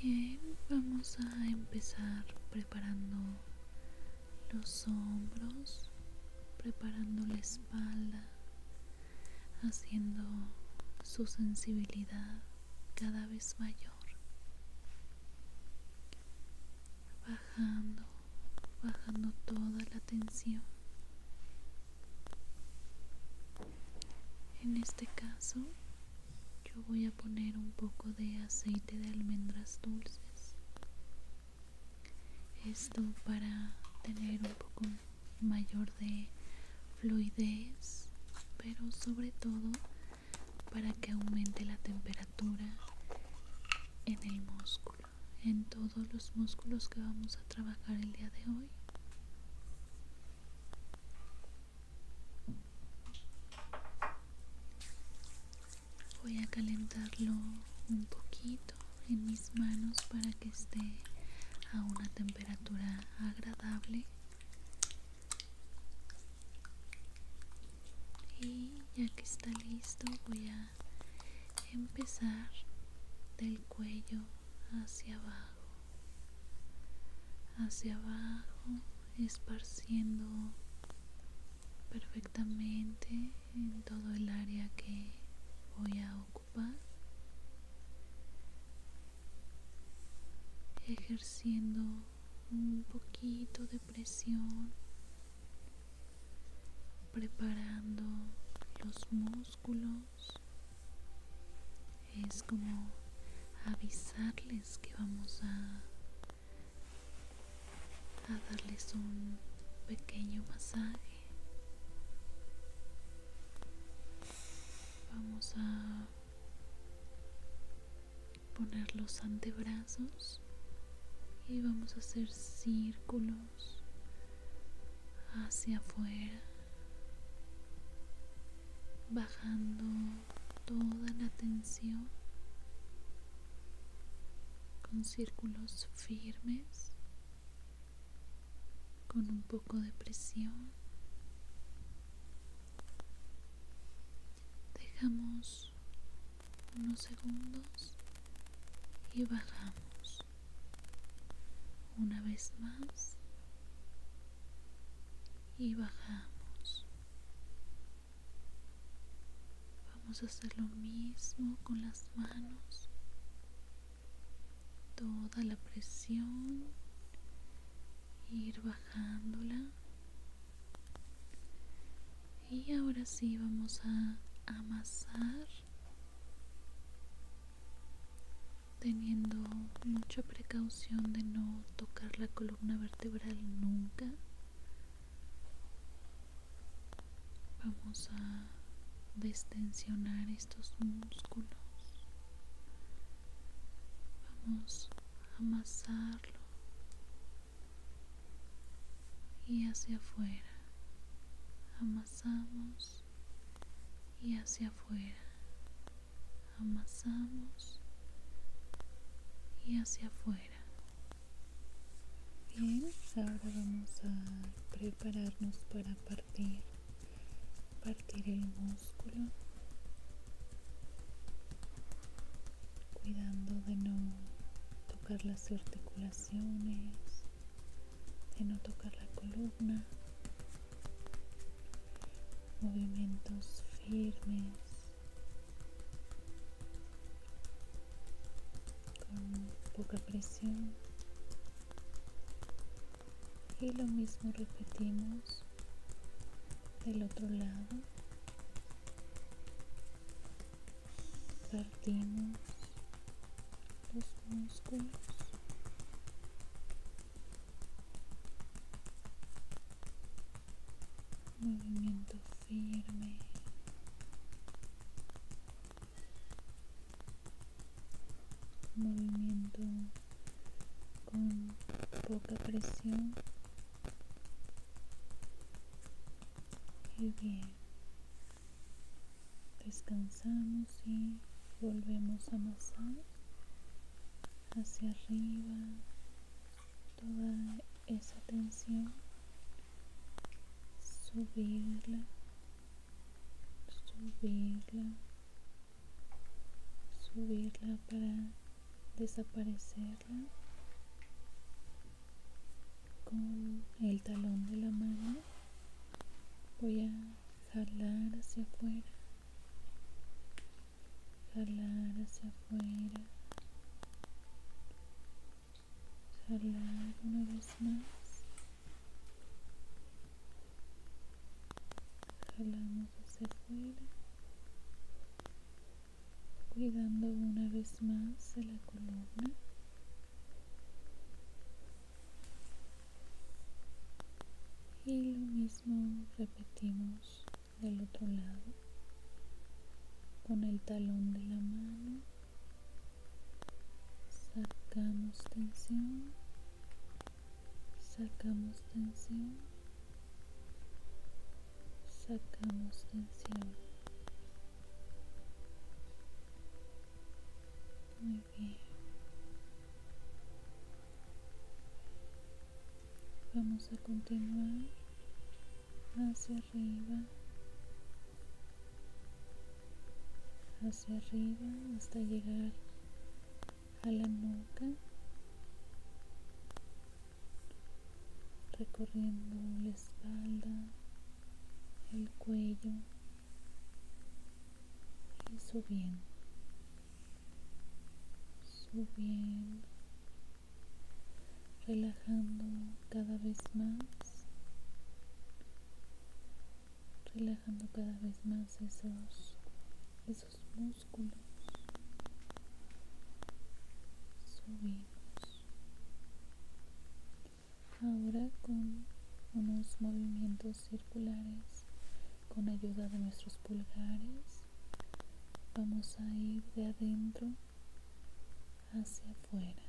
Bien, vamos a empezar preparando los hombros, preparando la espalda, haciendo su sensibilidad cada vez mayor. Bajando, bajando toda la tensión en este caso yo voy a poner un poco de aceite de almendras dulces. Esto para tener un poco mayor de fluidez, pero sobre todo para que aumente la temperatura en el músculo, en todos los músculos que vamos a trabajar el día de hoy voy a calentarlo un poquito en mis manos para que esté a una temperatura agradable y ya que está listo voy a empezar del cuello hacia abajo hacia abajo esparciendo perfectamente en todo el área que voy a ocupar ejerciendo un poquito de presión preparando los músculos es como avisarles que vamos a, darles un pequeño masaje. Vamos a poner los antebrazos y vamos a hacer círculos hacia afuera, bajando toda la tensión con círculos firmes, con un poco de presión. Dejamos unos segundos y bajamos una vez más y bajamos vamos a hacer lo mismo con las manos toda la presión ir bajándola y ahora sí vamos a amasar teniendo mucha precaución de no tocar la columna vertebral nunca. Vamos a destensionar estos músculos. Vamos a amasarlo y hacia afuera. Amasamos y hacia afuera amasamos y hacia afuera bien ahora vamos a prepararnos para partir partir el músculo cuidando de no tocar las articulaciones de no tocar la columna movimientos firmes con poca presión y lo mismo repetimos del otro lado partimos los músculos movimiento firme movimiento con poca presión y bien descansamos y volvemos a amasar hacia arriba toda esa tensión subirla subirla subirla para desaparecerla con el talón de la mano voy a jalar hacia afuera jalar hacia afuera jalar una vez más jalamos hacia afuera cuidando una vez más de la columna y lo mismo repetimos del otro lado con el talón de la mano sacamos tensión sacamos tensión sacamos tensión vamos a continuar hacia arriba hacia arriba hasta llegar a la nuca recorriendo la espalda el cuello y subiendo subiendo, relajando cada vez más, relajando cada vez más esos, esos músculos. Subimos. Ahora con unos movimientos circulares con ayuda de nuestros pulgares vamos a ir de adentro hacia afuera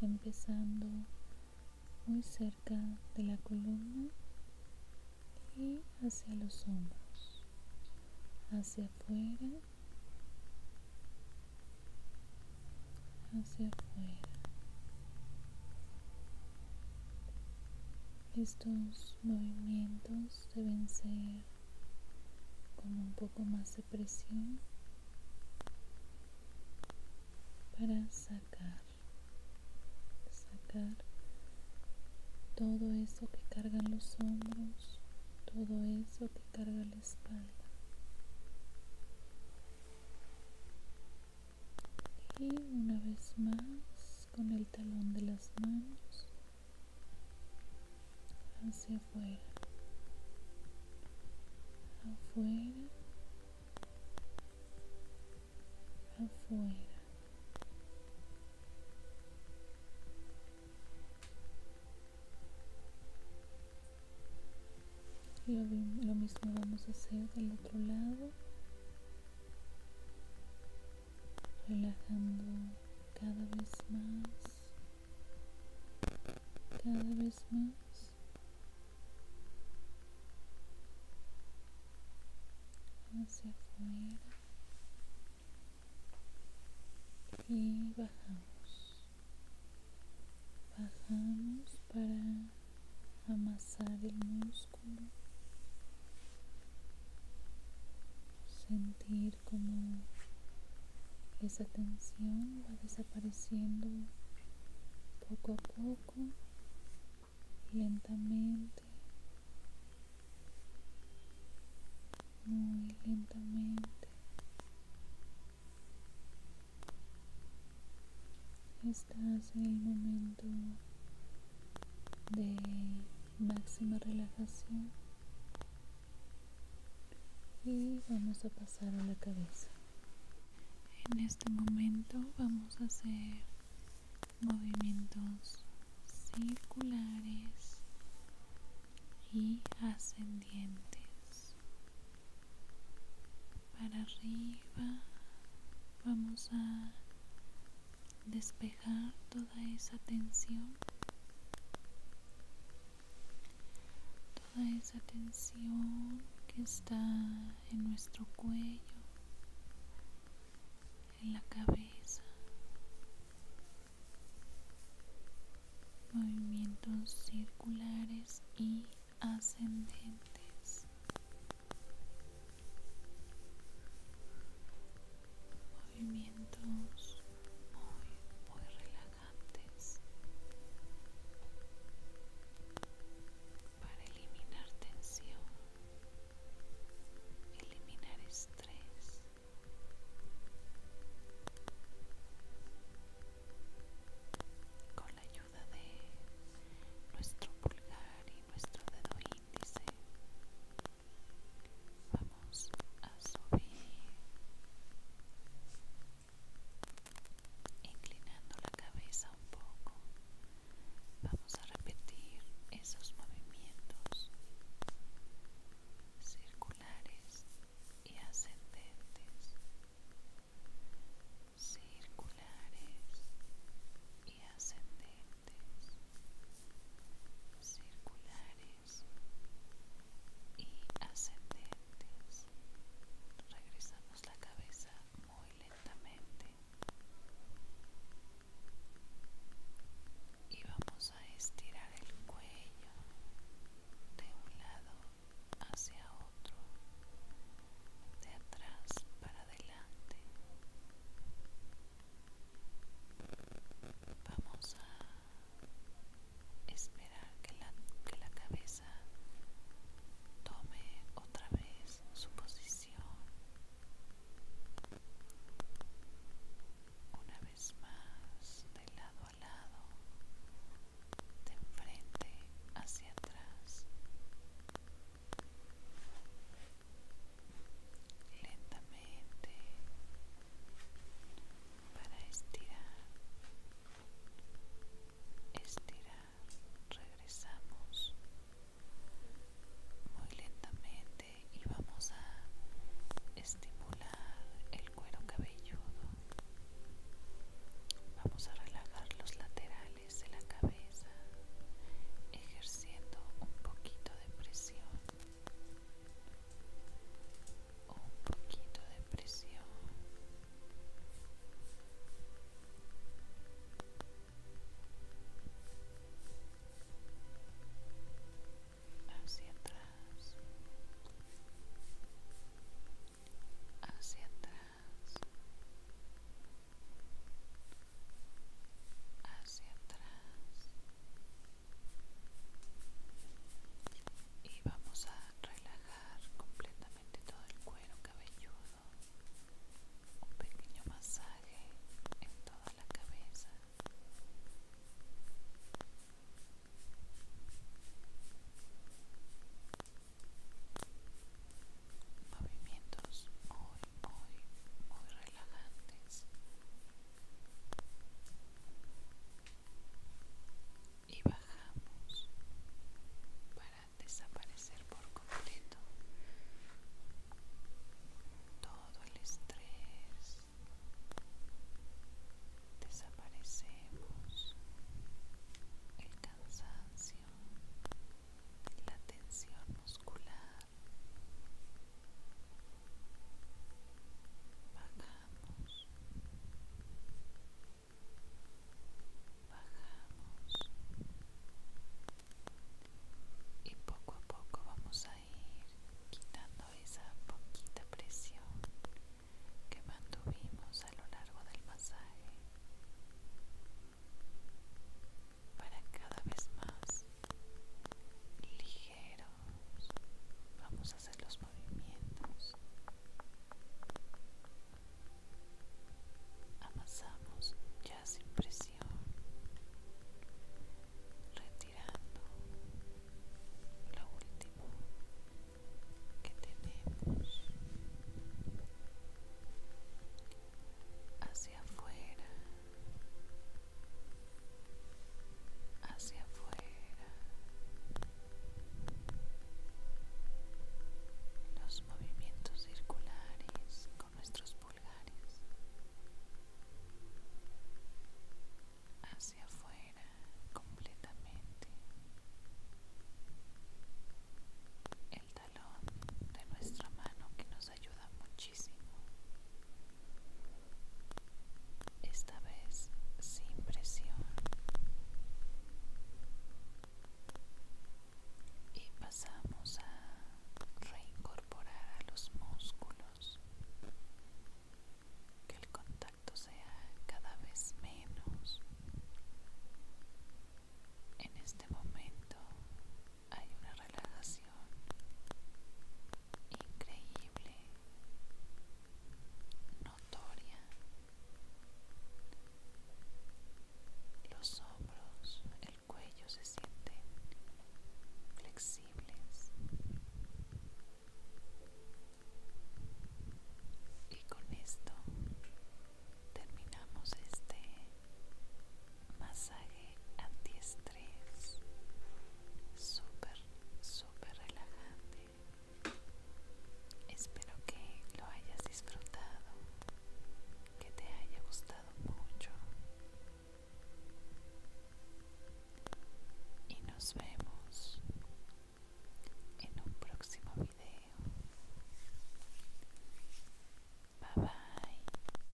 empezando muy cerca de la columna y hacia los hombros hacia afuera hacia afuera estos movimientos deben ser con un poco más de presión para sacar, sacar todo eso que cargan los hombros, todo eso que carga la espalda y una vez más con el talón de las manos hacia afuera afuera afuera lo, lo mismo vamos a hacer del otro lado relajando cada vez más, cada vez más. hacia afuera y bajamos bajamos para amasar el músculo, sentir como esa tensión va desapareciendo poco a poco, lentamente, muy lentamente. Estás en el momento de máxima relajación y vamos a pasar a la cabeza en este momento vamos a hacer movimientos circulares y ascendientes para arriba vamos a despejar toda esa tensión, toda esa tensión que está en nuestro cuello, en la cabeza. Movimientos circulares y ascendentes movimientos muy muy relajantes para eliminar tensión eliminar estrés con la ayuda de nuestro pulgar y nuestro dedo vamos a subir inclinando la cabeza un poco vamos a repetir esos movimientos circulares y ascendentes circulares y ascendentes, circulares y ascendentes. Regresamos la cabeza muy lentamente y vamos a estirar el cuello de un lado hacia otro, de atrás para adelante, Vamos a esperar que la, cabeza tome otra vez su posición. Una vez más, de lado a lado, de enfrente hacia atrás, lentamente para estirar estirar regresamos muy lentamente y vamos a estimular el cuero cabelludo vamos a relajar los laterales la cabeza, ejerciendo un poquito de presión, un poquito de presión. Hacia atrás, hacia atrás, hacia atrás y vamos a relajar completamente todo el cuero cabelludo un pequeño masaje en toda la cabeza movimientos hoy muy, muy relajantes y bajamos para desaparecer por completo todo el estrés desaparecemos el cansancio la tensión muscular bajamos bajamos y poco a poco vamos a ir quitando esa poquita presión que mantuvimos a lo largo del masaje para cada vez más ligeros vamos a hacer los movimientos amasamos ya sin presión retirando lo último que tenemos hacia afuera hacia afuera los movimientos circulares con nuestros pulgares hacia afuera completamente el talón de nuestra mano que nos ayuda mucho esta vez sin presión. Y pasamos a reincorporar a los músculos. Que el contacto sea cada vez menos. En este momento hay una relajación increíble, notoria. Los hombros, el cuello se sienten flexibles y con esto terminamos este masaje antiestrés súper súper relajante espero que lo hayas disfrutado que te haya gustado mucho y nos vemos en un próximo video bye bye